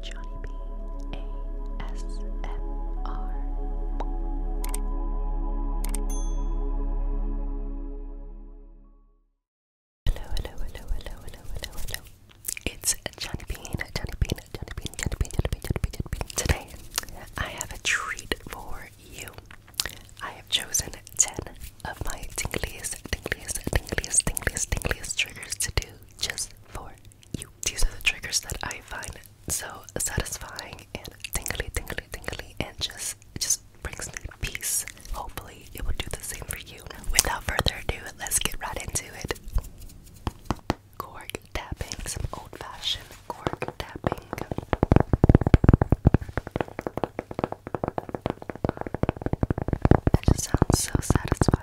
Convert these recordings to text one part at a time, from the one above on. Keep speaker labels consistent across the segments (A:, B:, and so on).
A: Johnny B A S M R. Hello, hello, hello, hello, hello, hello, hello. It's Johnny Bean, Johnny Bean, Johnny Bean, Johnny Bean, Johnny Bean, Johnny Bean, Johnny Bean. Today, I have a treat for you. I have chosen 10 of my tingliest, tingliest, tingliest, tingliest, tingliest triggers to do just for you. These are the triggers that I find so satisfying and tingly, tingly, tingly, and just it just brings me peace. Hopefully, it will do the same for you. Without further ado, let's get right into it. Cork tapping, some old-fashioned cork tapping. It just sounds so satisfying.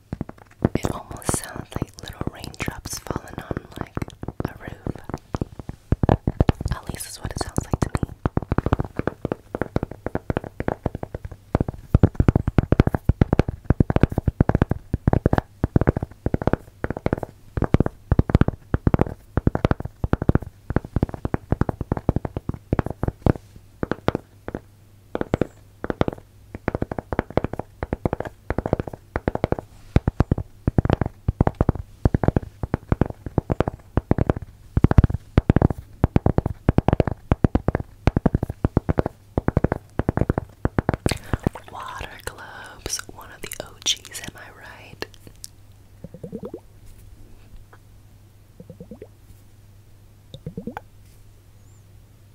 A: It almost sounds like little raindrops falling on like a roof. At least that's what it sounds like to me. Water Globes, one of the OGs, am I right?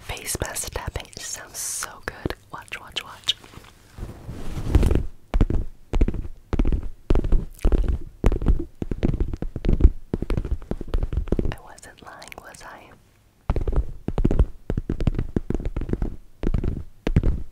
A: Face mask tapping sounds so good. Watch, watch, watch. I wasn't lying, was I?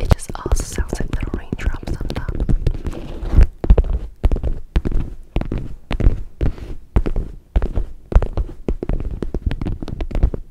A: It just also sounds like little raindrops on top.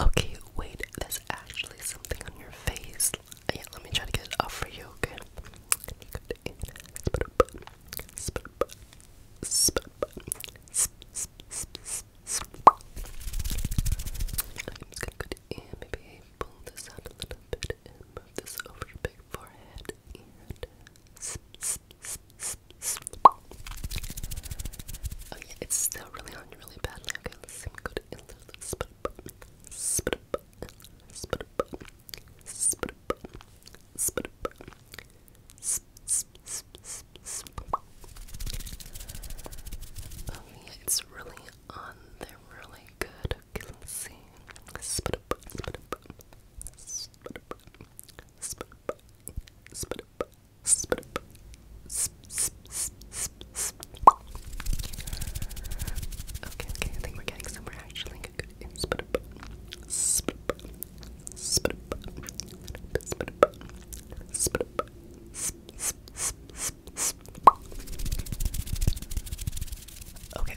A: Okay, wait, there's actually something on your face. let me try to get it off for you, okay? just gonna go to maybe pull this out a little bit and move this over your big forehead Oh yeah, it's still really on you really badly. Okay, let's Oh yeah, it's really on. They're really good. Okay, let's see. Spit up, spit up, spit up, spit up, spit up, spit up, Okay, okay, I think we're getting somewhere actually. Good, Okay,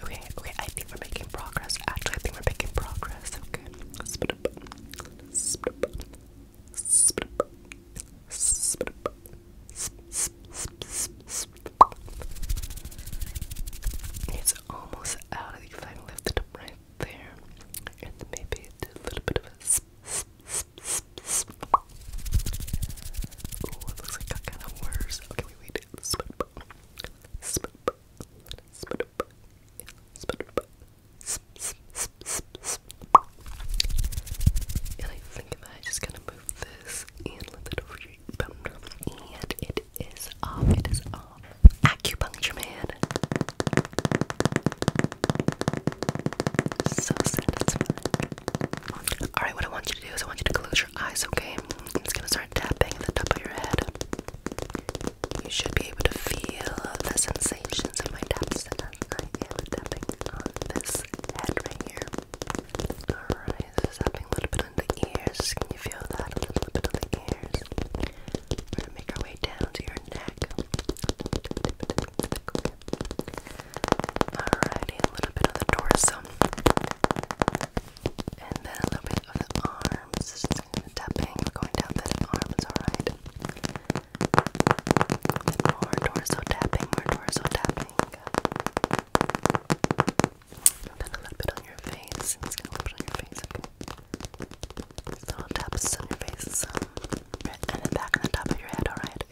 A: okay, okay. I think we're making progress. Actually, I think we're making progress. Okay, It's almost out of the final lift it up right there, and then maybe do a little bit of a sp, sp, sp, sp, sp. Ooh, it looks like I got kind of worse. Okay, wait, wait. Spit up, spit up, spit up, spit up, sp, sp, sp, sp, sp. And I think that I just kind of move this and let it and it is off, it is off. Acupuncture man. So satisfying. Alright, what I want you to do is I want you to close your eyes, okay? I'm just gonna start tapping at the top of your head. You should be able to feel the sensations of my taps I am tapping on this head right here. Alright is happening a little bit on the ears. Can you feel that? A little bit on the ears. We're gonna make our way down to your neck. Alrighty, a little bit of the torso. And then a little bit of the arms. Just tapping, we're going down that arms, alright. More torso tapping, more torso tapping. Then a little bit on your face. I'm gonna put on your face, little taps on your face, and then back and the top of your head, alright? A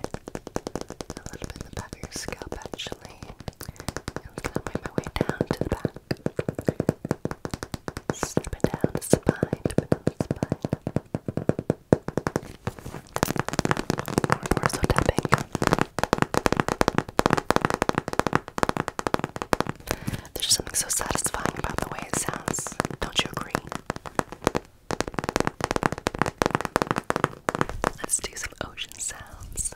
A: little bit in the back of your scalp, actually. I'm gonna wipe my way down to the back. Strip it down the spine, strip it More torso tapping. There's just something so satisfying about the way it sounds. Don't you agree? Let's do some ocean sounds.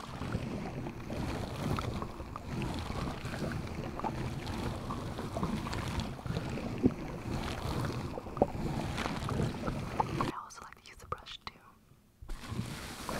A: I also like to use a brush too. I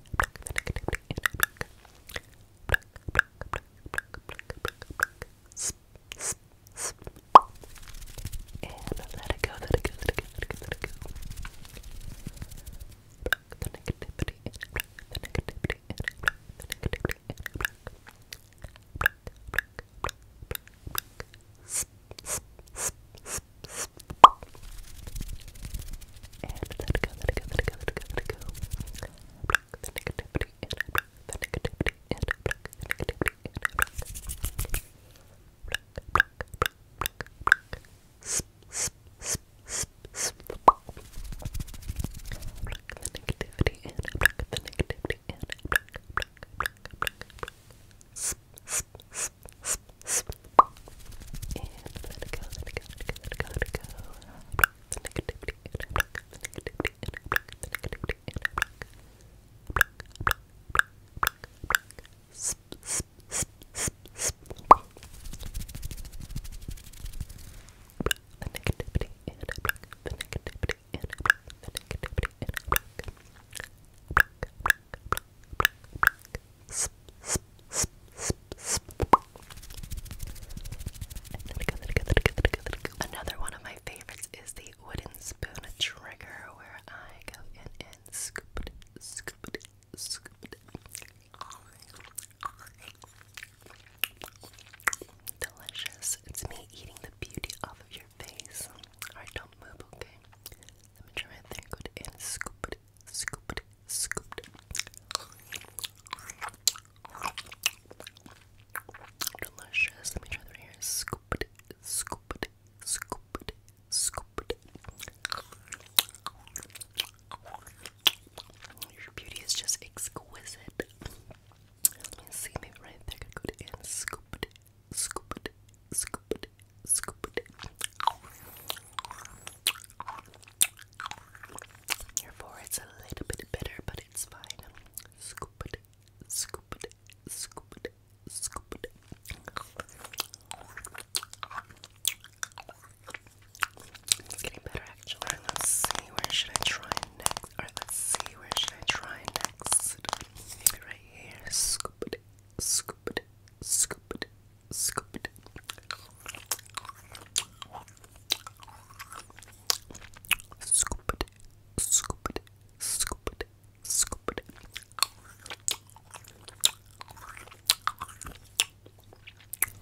A: And let it go, let it go, let it go, let it go, let it go. Block the negativity in, block the negativity in, block the negativity in, block. Block, block, block, block, block. Sp, sp, sp, sp, and let it go, let it go, let it go, let it go, let it go. Block the negativity and block the negativity and block the negativity and block. Block, block, block, block, block. Sp, sp, sp, sp, sp. Block the negativity and block the negativity and block, block, block, block, block let it go, let it go, let it go, let it go, let it go. The negativity in a block, the negativity in a block, the negativity in a block. Block, block, block, block, block. Sp, sp, sp, sp, sp. Block, the negativity in a block, the negativity in a block, the negativity in a block. Block, block, block, block, block, block. Another one of my favorites is the wooden spoon trigger where I go in and scoop scoop scoop Delicious. It's me eating the beauty off of your face. Alright, don't move, okay? Let me try my thing. Go scoop scooped, scooped. Delicious. Let me try that here. Scooped, scooped, scooped, scooped. Your beauty is just exquisite. Let me see, maybe right there. I could go to scooped, scoop it, scoop it, scoop it. a little bit bitter, but it's fine. Scoop it, scoop it, It's getting better actually. let's see where should I try next. Alright, let's see where should I try next. right here. Scoop it, Scoop it. Scoop it. Scoop it. Scoop it. Scoop it. Scoop it.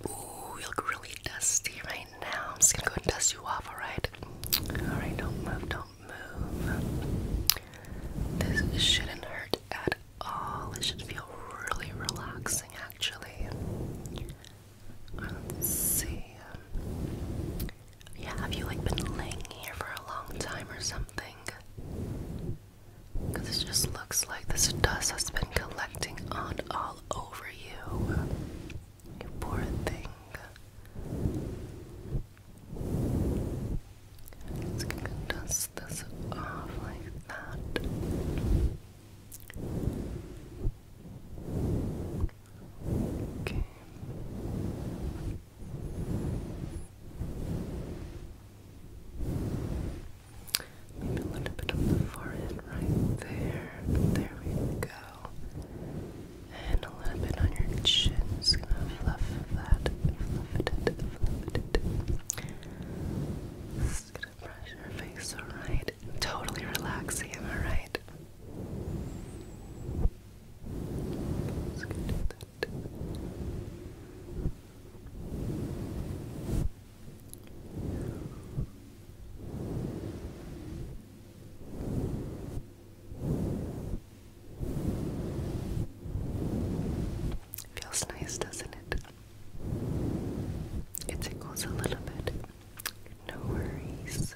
A: Ooh, you look really dusty right now. I'm just gonna go and dust you off, alright? Alright, don't move, don't move. This shouldn't hurt at Oh, this should feel really relaxing, actually. see. Yeah, have you like been laying here for a long time or something? Because it just looks like this dust has been collecting on all over you. You poor thing. Let's dust this off like that. Okay. Maybe a little bit on the forehead right there. There we go. And a little bit on your chin. Just gonna fluff that, fluff it just gonna brush your face, alright? Totally relaxing, am I right? Feels nice, doesn't it? It tickles a little bit. No worries.